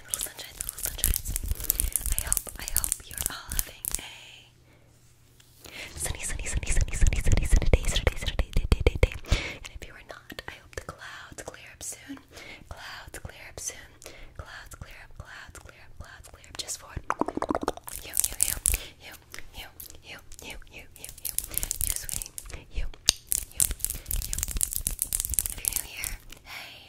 my little sunshines, my little sunshines. I hope, I hope you're all having a sunny, sunny, sunny, sunny, sunny, sunny, sunny day, Saturday, Saturday, day, day, day, day. And if you are not, I hope the clouds clear up soon. Clouds clear up soon. Clouds clear up, clouds clear up, clouds clear up. Just for you, you, you, you, you, you, you, you, you, you, you, sweetie, you, you, you. If you're new here, hey.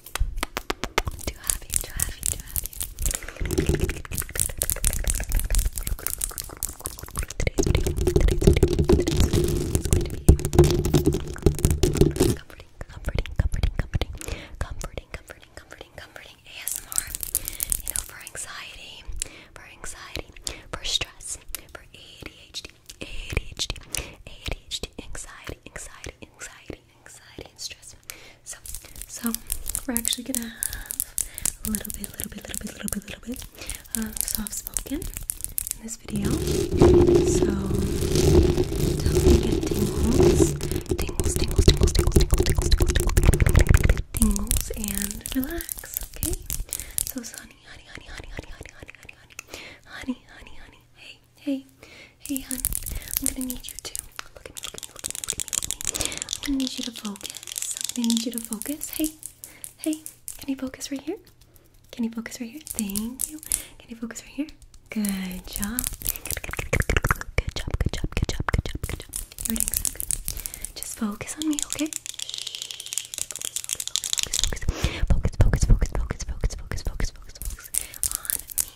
To have you, to have you, to have you. comforting, comforting, comforting, comforting, comforting, comforting, comforting, comforting ASMR. You know, for anxiety, for anxiety, for stress, for ADHD, ADHD, ADHD, anxiety, anxiety, anxiety anxiety and stress. So, so we're actually gonna have a little bit, little bit, little bit, little bit, little bit of soft spoken in this video. So tell me get tingles, tingles, tingles, tingles, tingles, tingles, tingles, tingles, tingles, and relax. Okay. So, honey, honey, honey, honey, honey, honey, honey, honey, honey, honey, honey, honey, hey, Hey, hey, hon. I'm gonna need you to look at me, look at me, look at me, look at me, look at me. I'm gonna need you to focus. I'm gonna need you to focus. Hey, hey, can you focus right here? Can you focus right here? Thank you. Can you focus right here? Good job. Good job, good job, good job, good job, good job. Everything's so good. Just focus on me, okay? focus, focus, focus, focus, focus, focus, focus, focus, focus, focus, focus on me.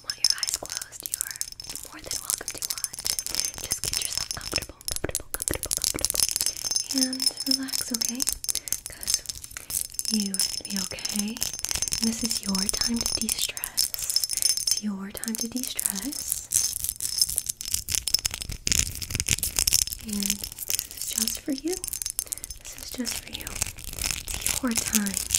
do your eyes closed, you are more than welcome to watch. Just get yourself comfortable, comfortable, comfortable, comfortable, and relax, okay? Because you are gonna be okay. this is your time to de-stress. It's your time to de-stress. And this is just for you. This is just for you. It's your time.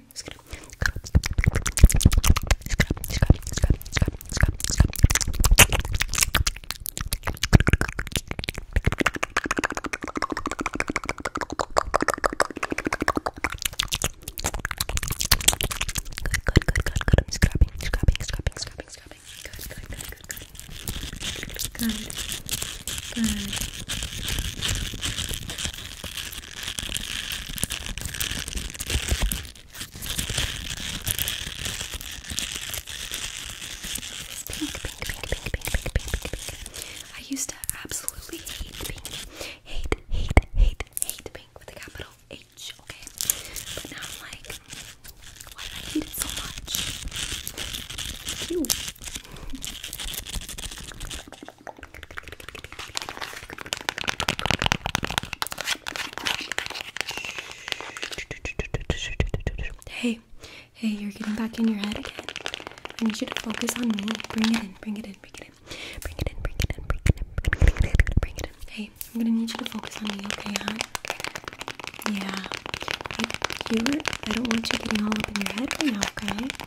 okay? Just gonna scrub, scrub, scrub, scrub, scrub, scrub, scrub. Good, good, good, good. I'm scrubbing, scrubbing, scrubbing, scrubbing, scrubbing. Good, good, good, good, good. Good. Good. I used to absolutely hate pink. Hate, hate, hate, hate pink with a capital H, okay? But now I'm like, why do I hate it so much? Hey, hey, you're getting back in your head again. I need you to focus on me. Bring it in, bring it in, bring it in. Bring it in, bring it in, bring it in, bring it in, bring it in. Bring it in. Hey, I'm gonna need you to focus on me, okay, huh? Yeah. Like, you, I don't want you getting all up in your head right now, okay?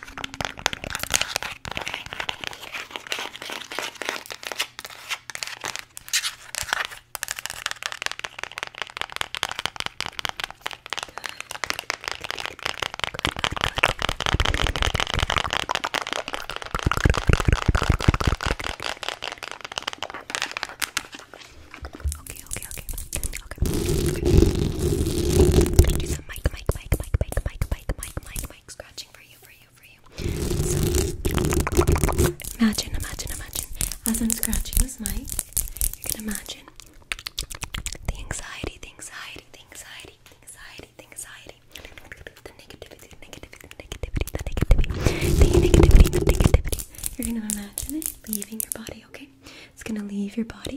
Okay, okay, okay. Okay. okay. Do some mic, mic, mic, mic, mic, mic, mic, mic, mic, mic, mic, like scratching for you, for you, for you. So imagine, imagine, imagine. As I'm scratching this mic, you can imagine the anxiety, the anxiety, the anxiety, the anxiety, the anxiety, the negativity, the negativity, the negativity, the negativity, the negativity, the negativity. You're gonna imagine it leaving your body, okay? It's gonna leave your body.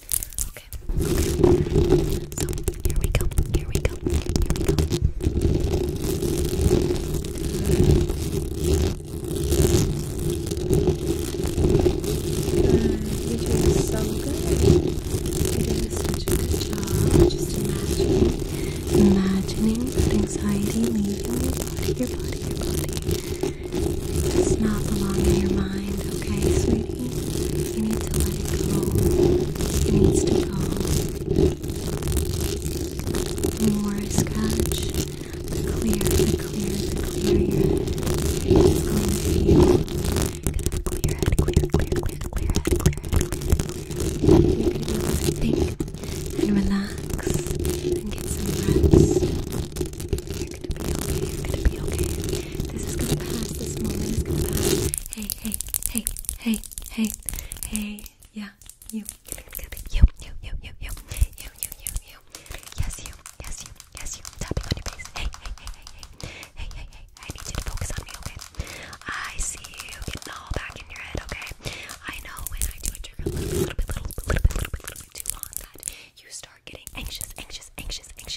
Okay. Okay. So here we go. Here we go. Here we go. Good. You're doing so good. You're doing such a good job. Just imagining, imagining that anxiety leaving your body, your body, your body. It's not belong in your mind. Okay, sweet. You need to let it go. It needs to go. more I scratch, the clearer, your head is going to You're going to clear head, clear, clear, clear, clear head, clear head, You're going to be able to think and relax and get some rest. You're going to be okay, you're going to be okay. This is going to pass, this moment is going to pass hey, hey, hey, hey, hey, hey, yeah, you, you, you, you, you, you, you, you, you, you, yes, you, yes, you, yes, you, tapping on your face, hey, hey, hey, hey, hey, hey, hey, I need you to focus on me, okay? I see you getting all back in your head, okay? I know when I do a trigger a little bit, little bit, little bit, little bit, little bit, little bit, little bit too long that you start getting anxious, anxious, anxious, anxious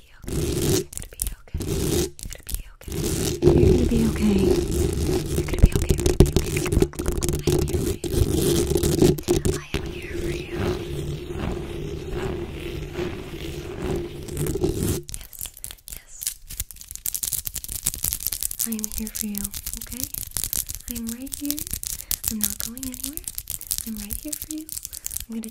be okay. You're gonna be okay. You're gonna be okay. You're gonna be okay. You're gonna be okay. You're gonna be okay. I'm here for you. I am here for you. Yes. Yes. I am here for you. Okay. I'm right here. I'm not going anywhere. I'm right here for you. I'm gonna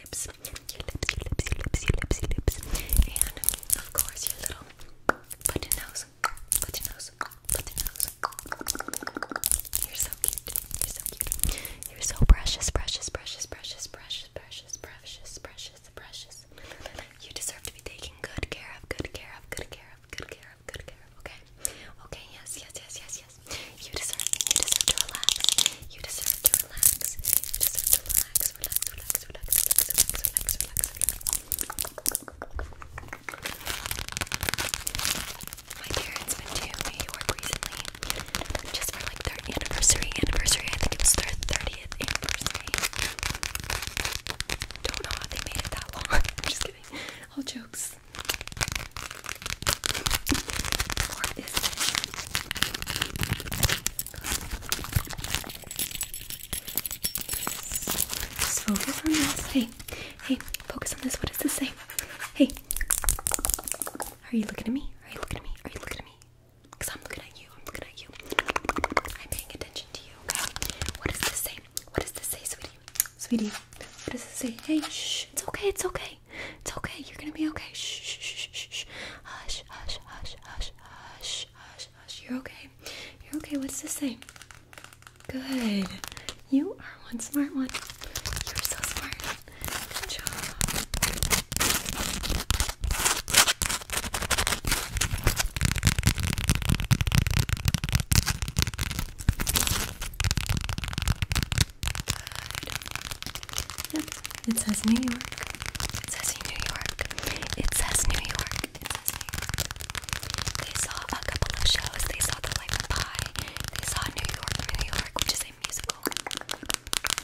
your lips, your lips, your lips, your lips, your lips, your lips, and of course your little button nose, button nose, button nose. You're so cute. You're so cute. You're so precious, precious, precious, precious, precious, precious, precious, precious, precious. You deserve to be taken good care of, good care of, good care of, good care of, good care of. Okay. Okay. Yes. Yes. Yes. Yes. Yes. You deserve. You deserve to relax. You deserve to relax. relax. Relax, relax, relax, relax, relax, relax, relax, My parents went to New York recently just for like their anniversary. Anniversary, I think it was their 30th anniversary. Don't know how they made it that long. just kidding. All jokes focus on this. Hey, hey, focus on this. What does this say? Hey, are you looking at me? Are you looking at me? Are you looking at me? Because I'm looking at you. I'm looking at you. I'm paying attention to you, okay? What does this say? What does this say, sweetie? Sweetie, what does this say? Hey, shh, it's okay, it's okay okay. It's okay. You're gonna be okay. Shh, shh, shh, shh, shh. Hush, hush, hush, hush, hush, hush, hush. You're okay. You're okay. What's this say? Good. You are one smart one. You're so smart. Good job. Good. Yep, it says New York. It says New York. It says New York. It says New York. They saw a couple of shows. They saw The Life of Pi. They saw New York, New York, which is a musical.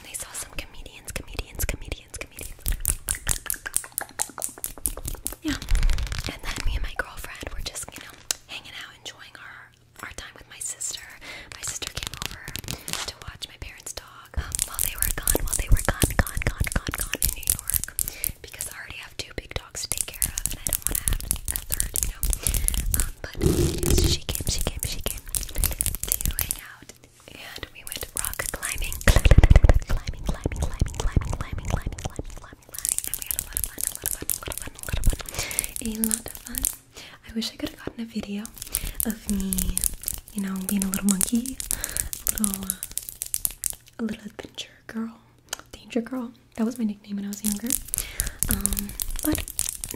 they saw some comedians, comedians, comedians, comedians. Yeah. And then me and my girlfriend were just, you know, hanging out, enjoying our our time with my sister. My sister came over to watch my parents' talk while they were gone, while they were gone, gone, gone, gone, gone in New York because I already have two big dogs to take care of and I don't want to have a um, but she came, she came, she came to hang out and we went rock climbing, climbing, climbing, climbing, climbing, climbing, climbing, climbing, climbing, climbing, and we had a lot of fun, a lot of fun, a lot of fun, a lot of fun. A lot of fun. I wish I could have gotten a video of me, you know, being a little monkey, a little, a little adventure girl, danger girl. That was my nickname when I was younger. Um, but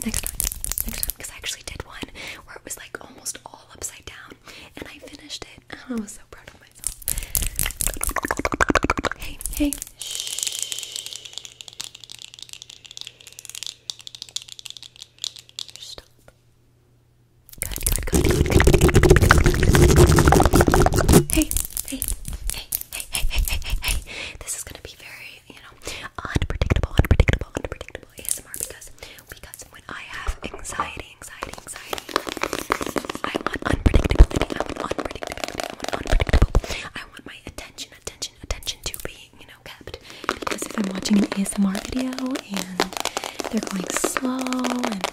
next time, next time, because I actually did one where it was like almost all upside down, and I finished it. I was so proud of myself. Hey, hey, shh. Stop. Hey, hey, hey, hey, hey, hey, hey, hey, This is gonna be very, you know, unpredictable, unpredictable, unpredictable ASMR because because when I have anxiety, anxiety, anxiety, I am unpredictable. I am unpredictability, I want unpredictable. I want my attention, attention, attention to be, you know, no kept because if I'm watching an ASMR video and they're going slow and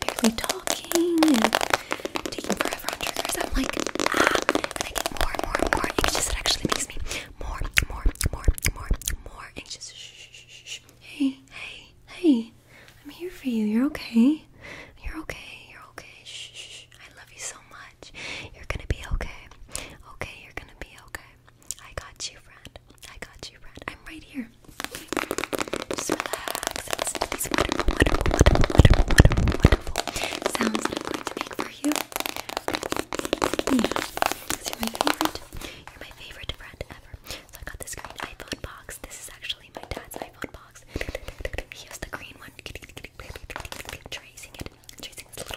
barely talking and taking forever on triggers, I'm like, ah, and I get more and more and more anxious. It actually makes me more, more, more, more, more anxious. Shh, shh, shh, shh. Hey, hey, hey, I'm here for you. You're okay. You're okay. You're okay. Shh, shh, shh. I love you so much. You're gonna be okay. Okay, you're gonna be okay. I got you, friend. I got you, friend. I'm right here. Just relax and wonderful, wonderful, wonderful, wonderful, wonderful, sounds that I'm going to make for you. you're my favorite. You're my favorite friend ever. So I got this green iPhone box. This is actually my dad's iPhone box. He has the green one. Tracing it. Tracing this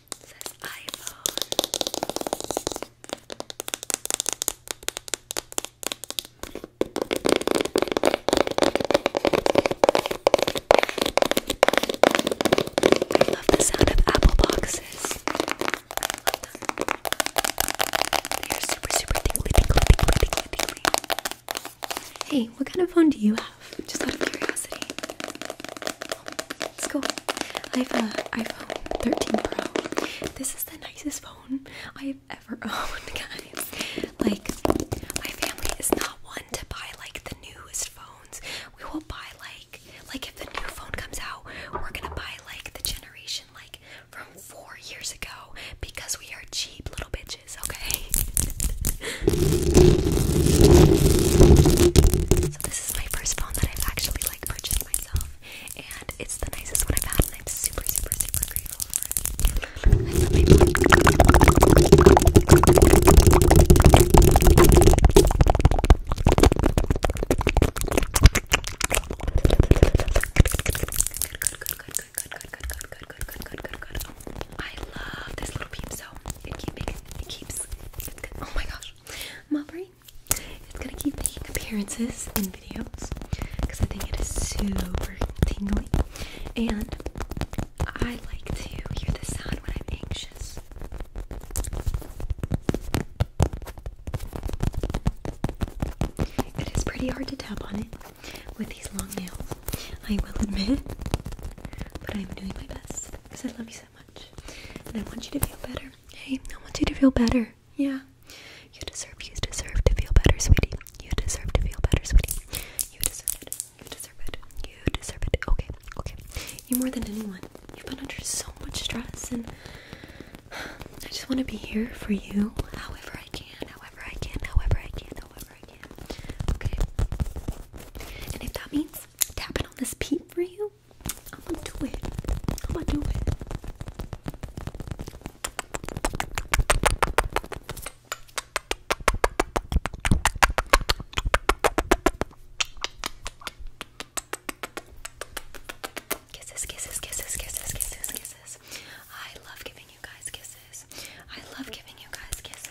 I love the sound of apple boxes. They are super, super tingly, tingly, tingly, tingly, tingly. Hey, what kind of phone do you have? Just out of curiosity. Let's go. I have an iPhone 13 Pro. This is the nicest phone I've ever owned, guys. Like, my family is not one to buy like the newest phones. We will buy like, like if the new phone comes out, we're gonna buy like the generation like from four years ago because we are cheap little bitches, okay? So this is my first phone that I've actually like purchased myself, and it's the nicest one I've had, and I'm super, super, super grateful for it. I love my phone. Good, good, good, good, good, good, good, good, good, good, good, good, good, good, good, good. I love this little peep it keep it keeps it's oh my gosh. My brain. It's gonna keep making appearances in videos because I think it is super tingly. And I like to hear the sound when I'm anxious. It is pretty hard to tap on it with these long nails, I will admit, but I'm doing my best because I love you so much. And I want you to feel better. Hey, I want you to feel better. Yeah. You deserve, you deserve to feel better, sweetie. You deserve to feel better, sweetie. You deserve it. You deserve it. You deserve it. Okay, okay. You more than anyone. You've been under so much stress, and I just want to be here for you however I can, however I can, however I can, however I can. Okay? And if that means tapping on this peep for you. I'm gonna do it. I'm gonna do it. Kisses, kisses, kisses, kisses, kisses, kisses. I love giving you guys kisses. I love giving you guys kisses.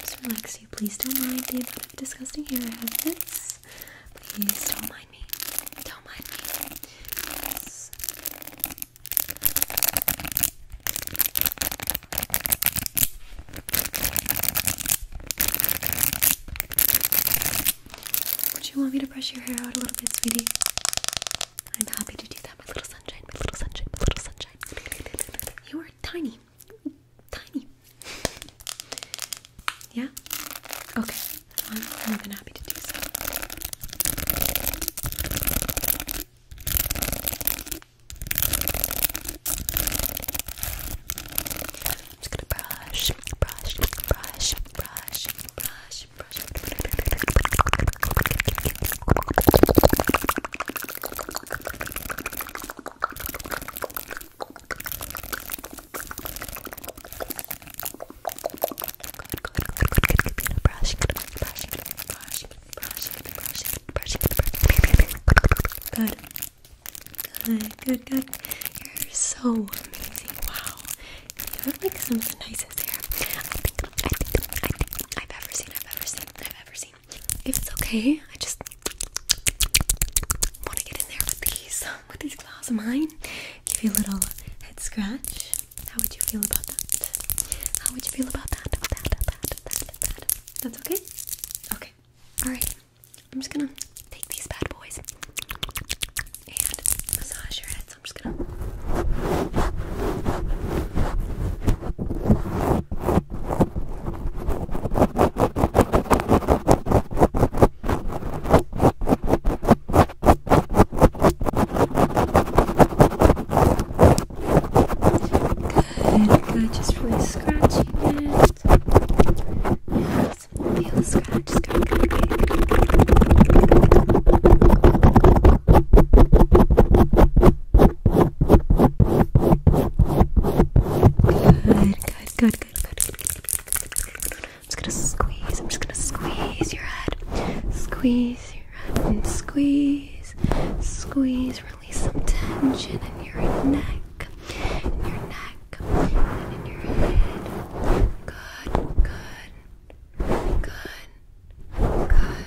Just relax you. Please don't mind the disgusting hair I have this. Please don't mind me. Don't mind me. Would you want me to brush your hair out a little bit, sweetie? I'm happy to do that, my little sunshine, my little sunshine, my little sunshine. You tiny. Tiny. Yeah? Okay. I'm more than happy to do so. I'm just gonna brush, brush, brush, brush, brush, brush. Good. Good, good, good. You're so amazing. Wow. You have like some of the nicest hair I think, I think, I think I've ever seen, I've ever seen, I've ever seen. If it's okay, I just want to get in there with these, um, with these claws of mine. Give you a little head scratch. How would you feel about that? How would you feel about that? that. That's okay? Okay. Alright. I'm just gonna take these bad boys and massage your head. So I'm just gonna Good, just really scratching it. Yes, feel the scratch, scratch, scratch. Good, good, good, good, good, I'm just gonna squeeze. I'm just gonna squeeze your head. Squeeze your head and squeeze. Squeeze. Release some tension in your neck. In your neck. And in your head. Good, good. Good. Good.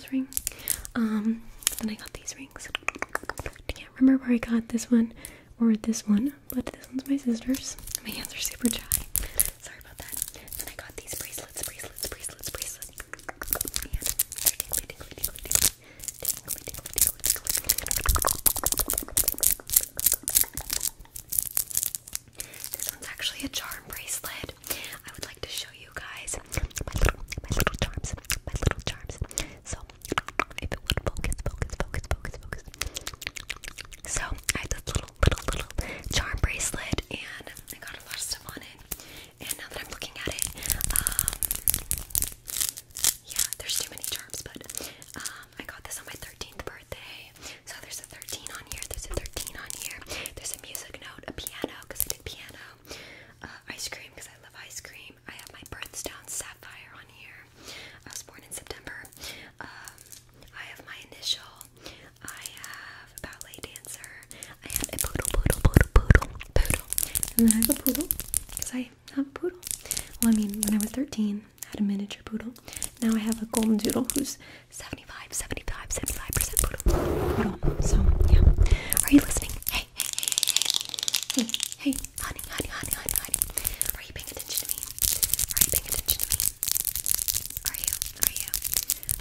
promise ring. Um, then I got these rings. I can't remember where I got this one or this one, but this one's my sister's. My hands are super dry. Sorry about that. Then I got these bracelets, bracelets, bracelets, bracelets. This one's actually a charm bracelet. I would like to you guys my little, charms, my little charms. So, if it would focus, focus, focus, focus, focus. So, I have this little, little, little charm bracelet, and I got a lot of stuff on it. And now that I'm looking at it, um, yeah, there's too many charms, but um, I got this on my 13th birthday. So, there's a 13 on here, there's a 13 on here, there's a music note, a piano, because I did piano. Uh, ice cream, because I love ice cream. I have my birthstone sapphire on here. I was born in September. Um, I have my initial. I have a ballet dancer. I have a poodle, poodle, poodle, poodle, poodle. And then I have a poodle, because I have a poodle. Well, I mean, when I was 13, I had a miniature poodle. Now I have a golden doodle who's 75, 75, 75% poodle. So, yeah. Are you listening? Hey, hey, hey, hey, hey, hey, hey, honey, honey, honey, honey, honey. Are you paying attention to me? Are you paying attention to me? Are you? Are you?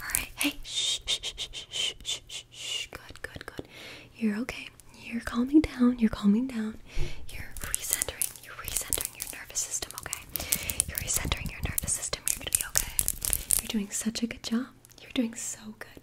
Alright, hey, shh, shh, shh, shh, shh, shh, shh, good, good, good. You're okay. You're calming down, you're calming down. You're recentering, you're recentering your nervous system, okay? You're recentering your nervous system, you're gonna be okay. You're doing such a good job. You're doing so good.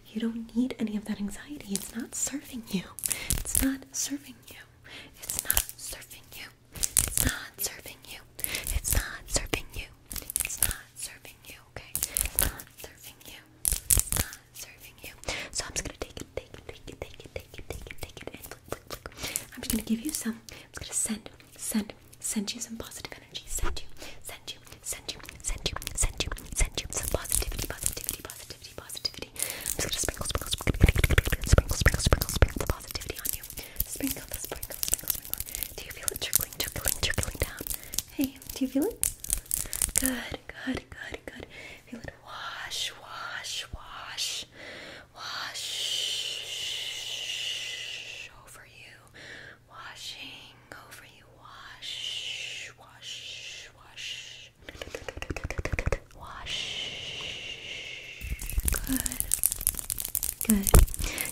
you don't need any of that anxiety. It's not serving you. It's not serving you. It's not serving you. It's not serving you. It's not serving you. It's not serving you. Okay. not serving you. not serving you. So I'm just gonna take it, take it, take it, take it, take it, take it, take it, and flick, flick, flick. I'm just gonna give you some. I'm gonna send, send, send you some positive energy. Send you, send send you, send you, send you, send you, send you some positivity, positivity, positivity, positivity. I'm just gonna sprinkle, sprinkle, sprinkle, sprinkle, sprinkle, sprinkle, sprinkle the positivity on you. Sprinkle, the sprinkle, sprinkle, sprinkle. Do you feel it trickling, trickling, trickling down? Hey, do you feel it? Good, good, good, good. Feel it wash, wash, wash, wash over you, washing over you. Wash, wash, wash. Wash. Good. Good.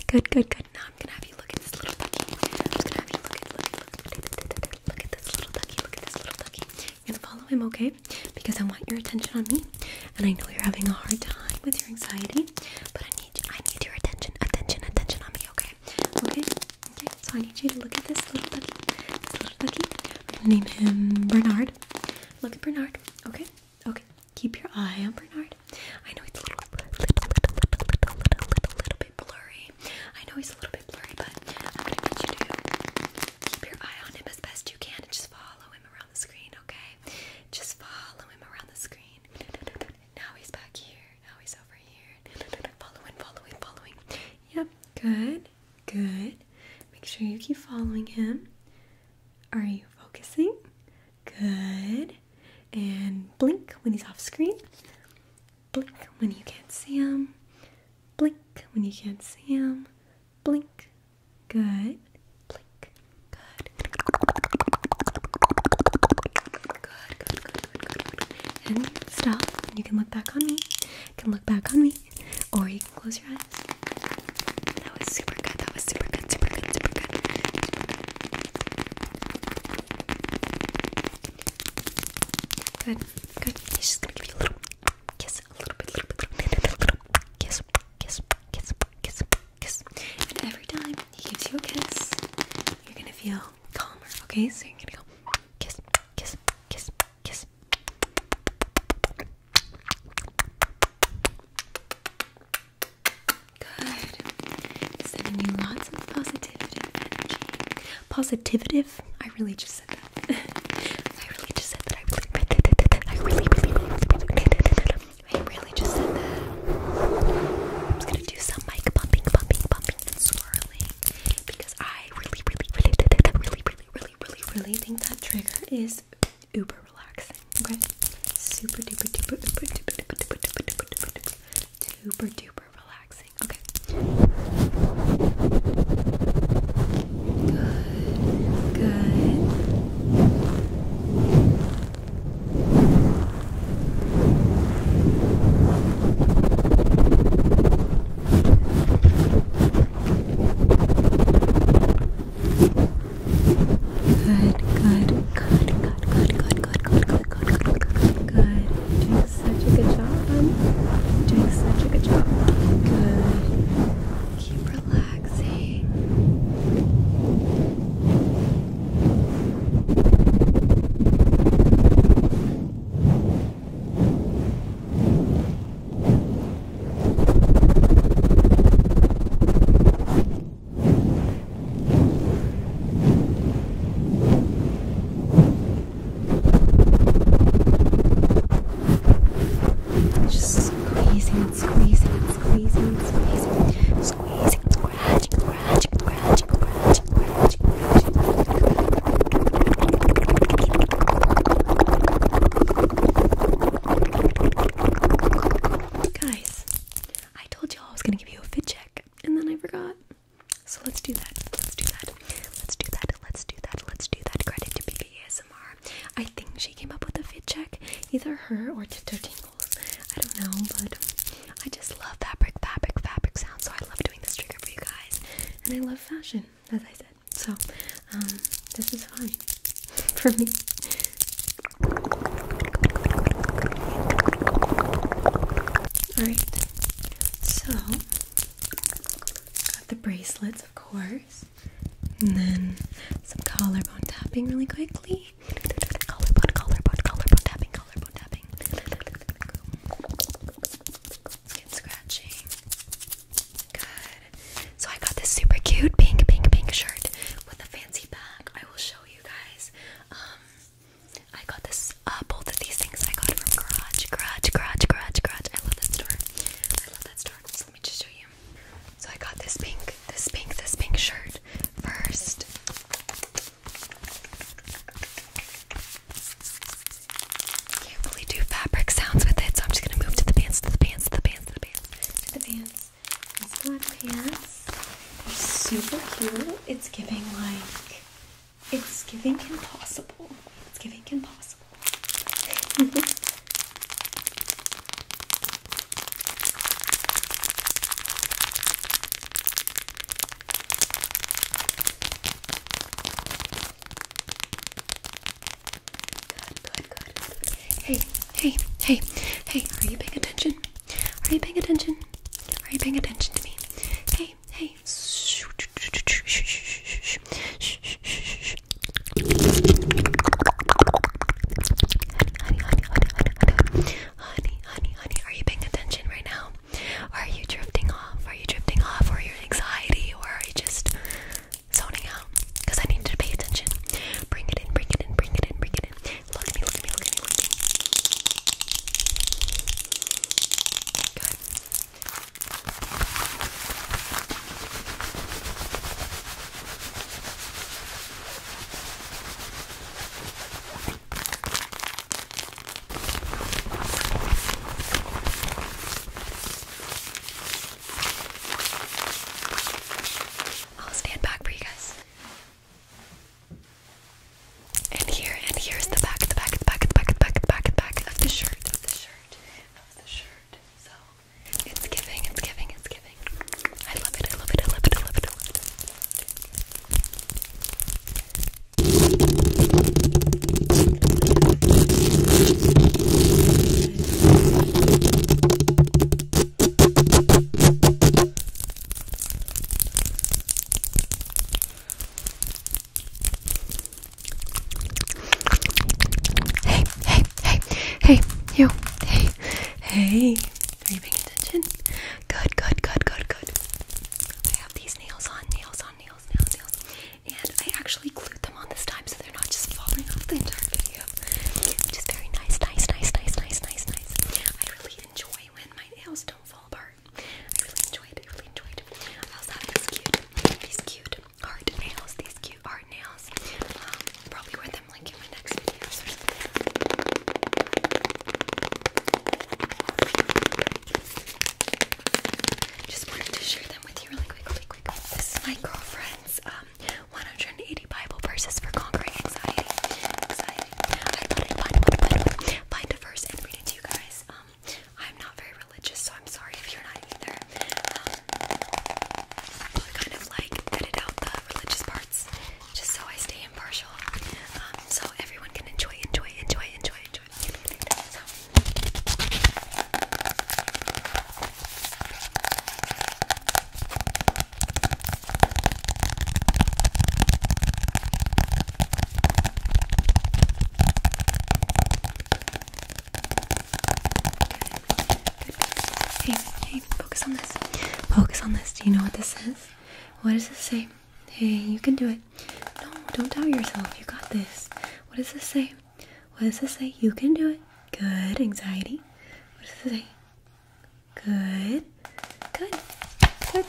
Good, good, good. Now I'm gonna have you look at this little ducky. I'm just gonna have you look at look, look, look, look at this little ducky. Look at this little ducky. You're gonna follow him, okay? Because I want your attention on me. And I know you're having a hard time with your anxiety. But I need I need your attention, attention, attention on me, okay? Okay, okay, So I need you to look at this little ducky. This little ducky. I'm gonna name him Bernard. Look at Bernard. Okay, okay. Keep your eye on Bernard. I know it's a little, little, little, little, little, little, bit blurry. I know he's a little bit blurry, but I'm gonna need you to keep your eye on him as best you can just follow him around the screen. Okay, just follow him around the screen. Now he's back here now oh, he's over here. Following, following, following. Yep, good, good. Make sure you keep following him. Are you focusing? Good. And blink when he's off screen. Blink when you can't see him. Blink when you can't see him. Blink. Good. Blink. Good. Good, good, good, And stop. You can look back on me can look back on me, or you can close your eyes. That was super good. That was super good. Super good. Super good. Good. Good. He's just gonna give you a little kiss, a little bit, little bit, little bit, little bit. Kiss, kiss, kiss, kiss, kiss. And every time he gives you a kiss, you're gonna feel calmer. Okay, so you're gonna go kiss, kiss, kiss, kiss. Good. Sending lots of positivity energy. Positivative? I really just said that. I really just said that. I really, really, really, I really just said that. I'm gonna do some mic bumping, bumping, bumping, swirling because I really, really, really, really, really, really, really, really think that trigger is uber relaxing. Okay, super duper duper duper duper duper duper duper duper duper duper duper duper relaxing. Okay. Good. Good. Good, good, good, good, good, good, good, good, good, good, good, good, good, good. Doing such a good job. Doing such a good job. Good. Keep relaxing. Good. Just squeezing and squeezing and squeezing and squeezing. Squeezing, scratching, scratching, scratching, scratching, Guys, I told you I was gonna give you a fit check, and then I forgot. So let's do that. Let's do that. Let's do that. Let's do that. Let's do that. Credit to BBASMR. I think she came up with the fit check. Either her or Tiptoe Tingles. I don't know, but I just love fabric, fabric, fabric sounds. So I love doing this trigger for you guys, and I love fashion as I said. So, um, this is fine for me. Alright, so got the bracelets, of course, and then some collarbone tapping really quickly. Collarbone, collarbone, collarbone tapping, collarbone tapping skin scratching. Good. So I got this super cute pink, pink, pink shirt with a fancy back. I will show you guys. Um, I got this. Uh, both of these things I got from Garage, Garage, Garage, Garage, Garage. I love that store. I love that store. let me just show you. So I got this pink, this pink, this pink shirt first. Can't really do fabric sounds with it, so I'm just gonna move to the pants, to the pants, to the pants, to the pants, to the pants. These black pants are super cute. It's giving like it's giving impossible. It's giving impossible. Hey, hey, hey, hey, are you paying attention? Are you paying attention? Are you paying attention to me? Hey, hey. Honey, honey, honey, honey, honey, honey, honey, honey, are you paying attention right now? are you drifting are you drifting off? Or your anxiety? Or are you just zoning out? Because I need to pay attention. Bring it in, bring it in, bring it in, bring it in. Look at me, look at me, look at me, I'll stand back for you guys. And here, and here's the back, the back, the back, the back, the back, the back, the back of the shirt, of the shirt, So it's giving, it's giving, it's giving. I love it, I love it, I love it, I love it, I love it. Hey, hey, hey, hey, you, hey, hey, are you paying attention? Good, good, good, good, good. I have these nails on, nails on, nails, nails, nails and I actually glued them on this time so they're not just falling off the entire video, which is very nice, nice, nice, nice, nice, nice, nice. I really enjoy when my nails don't fall apart. I really enjoy it. I really enjoy it. I also have these cute, these cute art nails. These cute art nails. Um, I'll probably wear them like in my next videos or something. Just wanted to share them with you really quickly. This is my girlfriend's um, 180 Bible verses for conquering anxiety. I thought I'd find a verse and read it to you guys. Um, I'm not very religious, so I'm sorry if you're not either. i um, kind of like edit out the religious parts, just so I stay impartial. so everyone can enjoy, enjoy, enjoy, enjoy, enjoy. Hey, hey, focus on this. Focus on this. Do you know what this says? What does this say? Hey, you can do it. No, don't doubt yourself. You got this. What does this say? What does this say? You can do it. Good. Anxiety. What does this say? Good. Good. Good.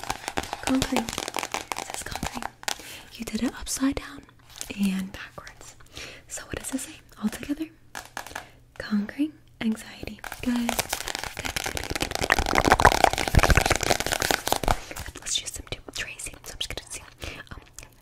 Conquering. It says conquering. You did it upside down and backwards. So what does this say? All together. Conquering anxiety. Good. Let's use some tracing. So i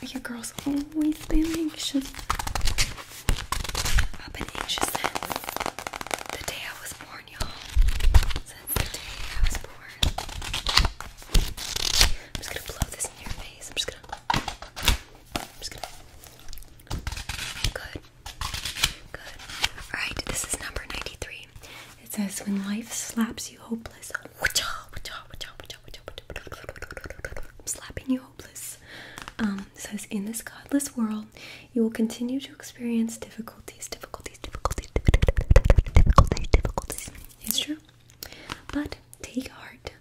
Because your girl's always been anxious. I've been anxious since the day I was born, y'all. Since the day I was born. I'm just gonna blow this in your face. I'm just gonna. I'm just gonna. Good. Good. Alright, this is number 93. It says, When life slaps you hopeless, slapping you hopeless. Um, says in this godless world, you will continue to experience difficulties, difficulties, difficulties, difficulties, difficulties. It's true. But take heart.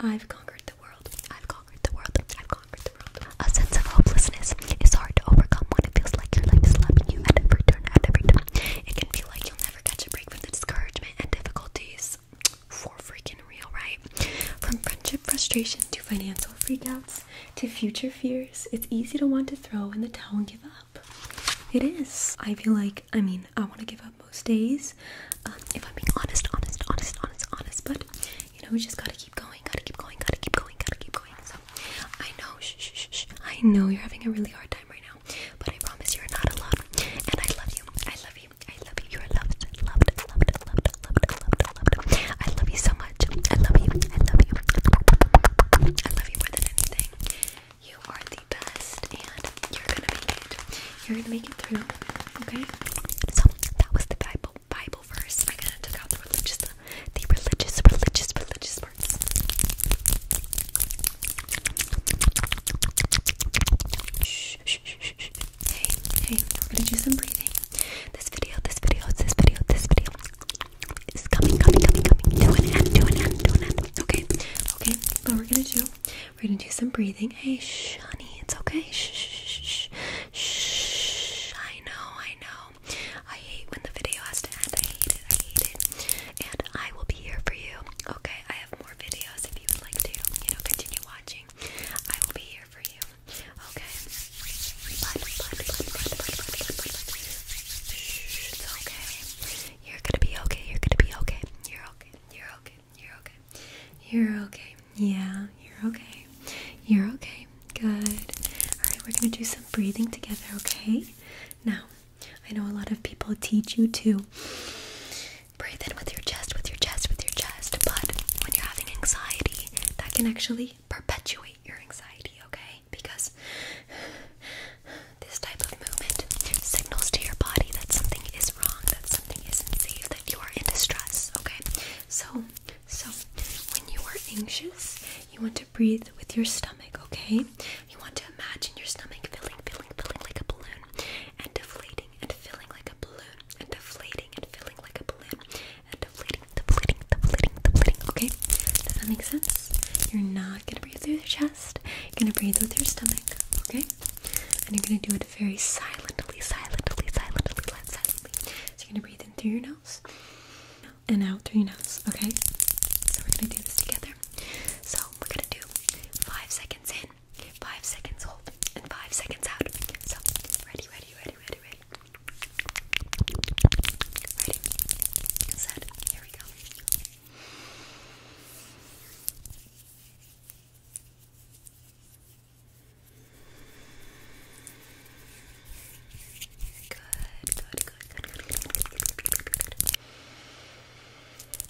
I've conquered the world. I've conquered the world. I've conquered the world. A sense of hopelessness is hard to overcome when it feels like your life is slapping you at every turn, at every turn. It can feel like you'll never never catch a break from the discouragement and difficulties for freaking real, right? From friendship frustration to financial freakouts to future fears, it's easy to want to throw in the towel and give up. It is. I feel like, I mean, I want to give up most days. Um, if I'm being honest, honest, honest, honest, honest, but you know, we just gotta keep going, gotta keep going, gotta keep going, gotta keep going. So I know, shh, shh, shh, shh. I know you're having a really hard time right now. But I promise you're not alone. And I love you. I love you. I love you. You are loved. Loved. Loved. Loved. Loved. Loved. Loved. I love you so much. I love you. I love you. I love you more than anything. You are the best, and you're gonna make it. You're gonna make it through. Okay. So that was the Bible Bible verse. I gotta take out the religious, the religious, religious, religious parts. Shh, shh, shh, shh. Hey, hey, we're gonna do some breathing. This video, this video, this video, this video is coming, coming, coming, coming. Do an end, do an end, do an end. Okay, okay. What we're gonna do, we're gonna do some breathing. Hey, shh, honey, it's okay. Shh, shh, shh, shh. I know, I know. I hate when the video has to end. I hate it, I hate it. And I will be here for you. Okay, I have more videos if you would like to, you know, continue watching. I will be here for you. Okay. It's okay. You're gonna be okay. You're gonna be okay. You're okay. You're okay. You're okay. You're okay. Yeah, you're okay. You're okay. Good. Alright, we're gonna do some breathing together, okay? Now I know a lot of people teach you to breathe in with your chest, with your chest, with your chest, but when you're having anxiety, that can actually perpetuate your anxiety, okay? Because this type of movement signals to your body that something is wrong, that something isn't safe, that you are in distress, okay? So, so when you are anxious, you want to breathe with your stomach, okay? You want to imagine your stomach filling, filling, filling like a balloon and deflating and filling like a balloon, and deflating and filling like a balloon, and deflating, deflating, deflating, deflating. Okay, does that make sense? You're not gonna breathe through your chest. You're gonna breathe with your stomach. Okay, and you're gonna do it very silently, silently, silently, silently. So you're gonna breathe in through your nose and out through your nose. Okay, so we're gonna do this together. So we're gonna do five seconds in, Five seconds hold and five seconds out. So ready, ready, ready, ready, ready. Ready. Set. Here we go. good, good, good, good.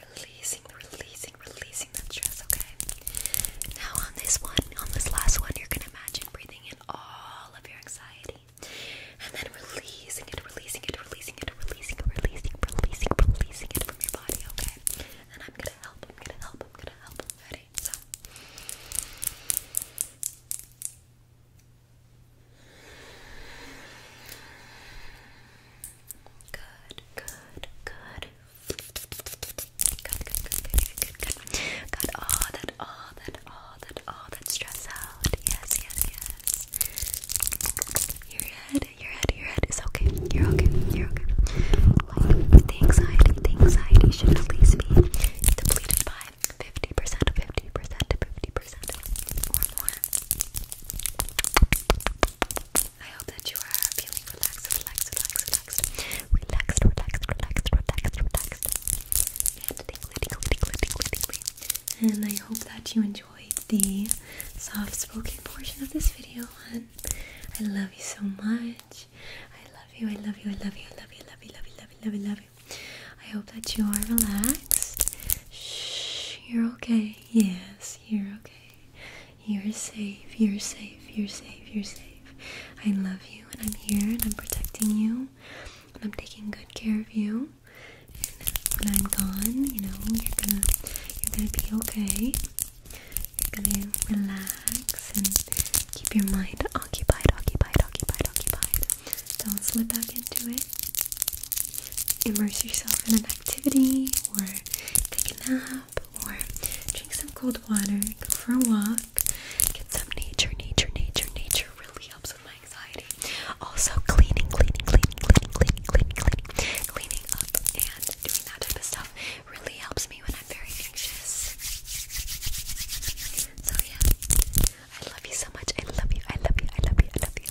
Releasing, releasing, releasing that stress, okay? Now, on this one, on this last one, you're gonna imagine breathing in all of your anxiety and then releasing it, releasing it, releasing it, releasing it, releasing, releasing, releasing it from your body, okay? And I'm gonna help, I'm gonna help, I'm gonna help. Ready? So. Good, good, good. Good, good, Got all that, all that, all that, all that stress out. Yes, yes, yes. Your head, your head, your head is okay. You're okay, you're okay. the anxiety, the anxiety should at least be depleted by 50%, 50%, 50% or more. I hope that you are feeling relaxed, relaxed, relaxed, relaxed, relaxed, relaxed, relaxed, relaxed, relaxed, and tingly, tingly, tingly, tingly, tingly. And I hope that you enjoyed the soft-spoken portion of this video. And I love you so much. I love you. I love you. I love you. I love you. Love you. Love you. Love you. Love you. Love you. I hope that you are relaxed. Shh, you're okay. Yes, you're okay. You're safe, you're safe, you're safe, you're safe. I love you and I'm here and I'm protecting you and I'm taking good care of you. And when I'm gone, you know, you're gonna you're gonna be okay. You're gonna relax and keep your mind occupied, occupied, occupied, occupied. Don't slip back into it. Immerse yourself in an activity or take a nap or drink some cold water, go for a walk, get some nature, nature, nature, nature really helps with my anxiety. Also cleaning, cleaning, cleaning, cleaning, cleaning, cleaning, cleaning, cleaning up and doing that type of stuff really helps me when I'm very anxious. So yeah. I love you so much. I love you. I love you. I love you. I love you.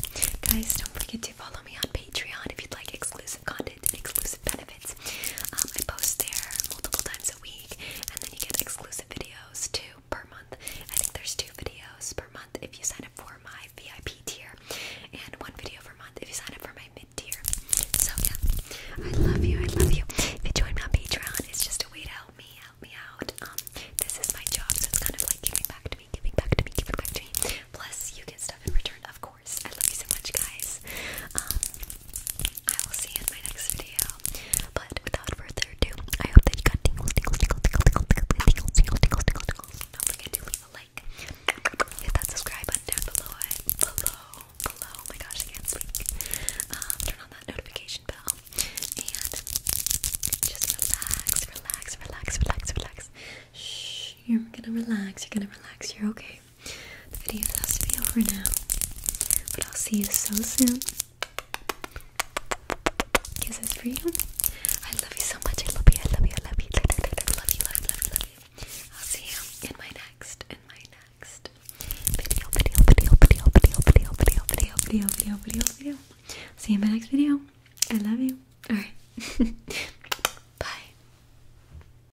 Guys, don't forget to follow me on Patreon if you'd like exclusive exclusive exclusive benefits. Um, I post there multiple times a week, and then you get exclusive videos too per month. I think there's two videos per month if you sign up for my VIP tier, and one video per month if you sign up for my mid tier. So yeah, I love you. I love you. If you join me on Patreon, it's just a way to help me help me out. Um, this is my job, so it's kind of like giving back to me, giving back to me, giving back to me. Plus, you get stuff in return, of course course. I love you so much, guys. I will see you in my next video. But without further ado, I hope that you got tingles, tingles, tingles, tingles, tingles, tingles, tingles, tingles, tingles, tingles. Don't forget to leave a like. Hit that subscribe button down below. Below, below. Oh my gosh, I can't speak. turn on that notification bell and just relax, relax, relax, relax, relax. Shh, you're gonna relax. You're gonna relax. You're okay the video has to be over now. But I'll see you so soon. Kisses for you. I love you so much. I love you. I love you. I love you. I love you. I love you. Love you. Love you. Love you. I'll see you in my next. In my next video. Video. Video. Video. Video. Video. Video. Video. Video. Video. Video. Video. See you in my next video. I love you. All right. Bye.